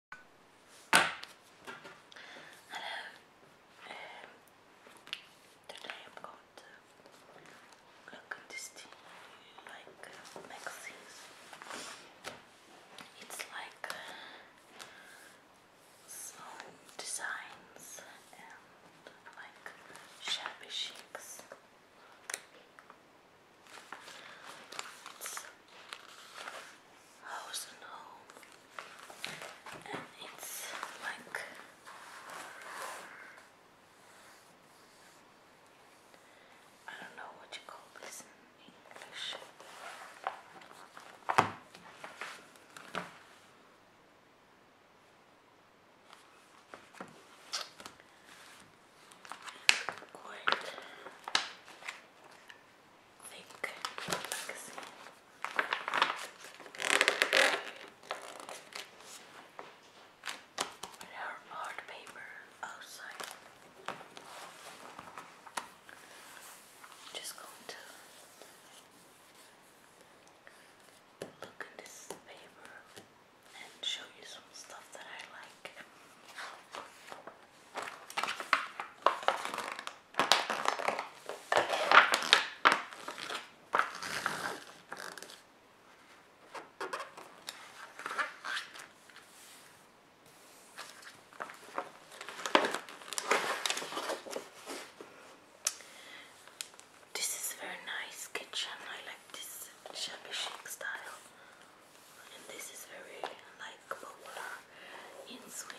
Hello. today I'm going to look at this like magazines. It's like uh, designs and like shabby chics. It's house and home, and it's like I don't know what you call this in English quite thick paper outside. just going to Look at this paper and show you some stuff that I like. This is very nice kitchen. I like this shabby chic style and this is very like popular in Sweden.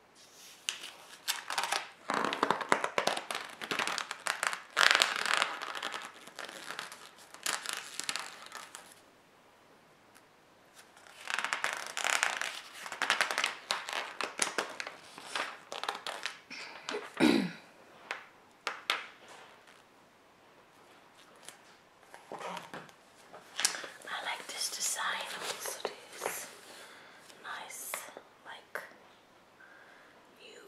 I like this design also, this nice like new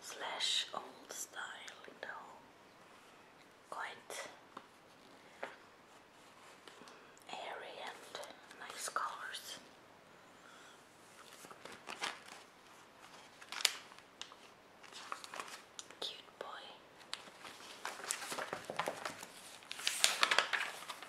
slash old style in the Quite airy and nice colors. Cute boy.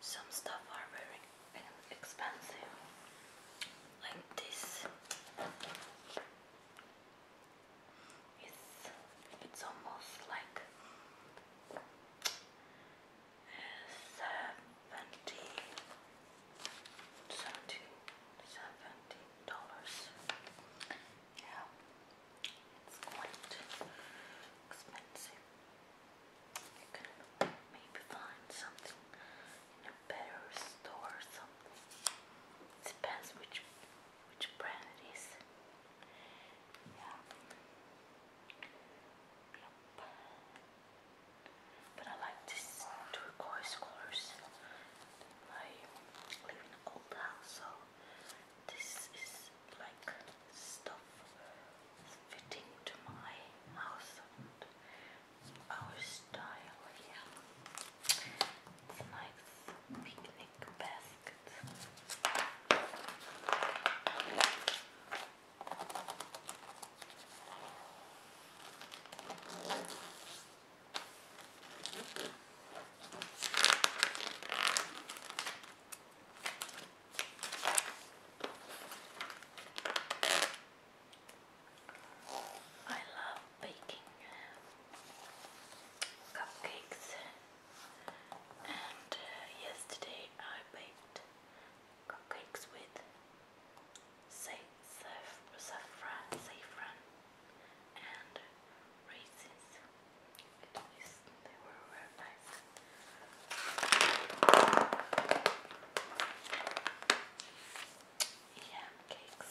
Some stuff are very expensive, like this. It's it's almost like uh, seventy, seventy, seventy dollars. Yeah, it's quite expensive. maybe find something in a better store something. It depends which which brand it is. Yeah. But I like this turquoise colors. I live in an old house, so this is like stuff fitting to my house our style here. It's nice picnic basket. I love baking um, cupcakes, and uh, yesterday I baked cupcakes with saffron, saffron and raisins. It is, they were nice. Yam cakes.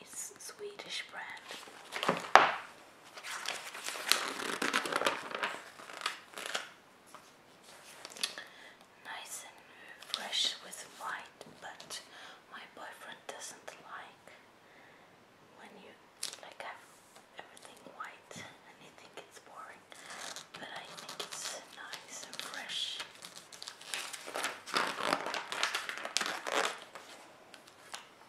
It's Swedish bread, Nice and fresh with white, but my boyfriend doesn't like when you like have everything white and he think it's boring. But I think it's nice and fresh. Oh,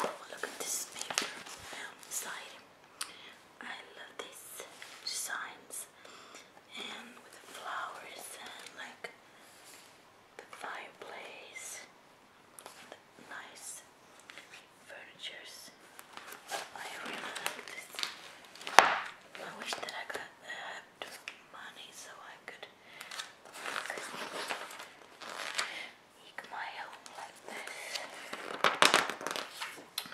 look at this paper side. I love these designs and with the flowers and like the fireplace, the nice furniture. I really like this. I wish that I could have money so I could make my home like this.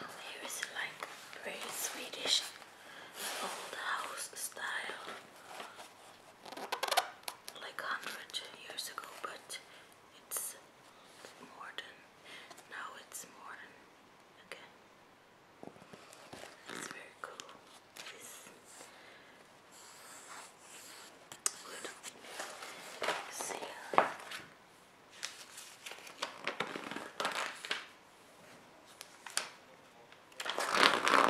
Here is like very Swedish old house style like 100 years ago, but it's modern. Now it's modern again. It's very cool. It's good. See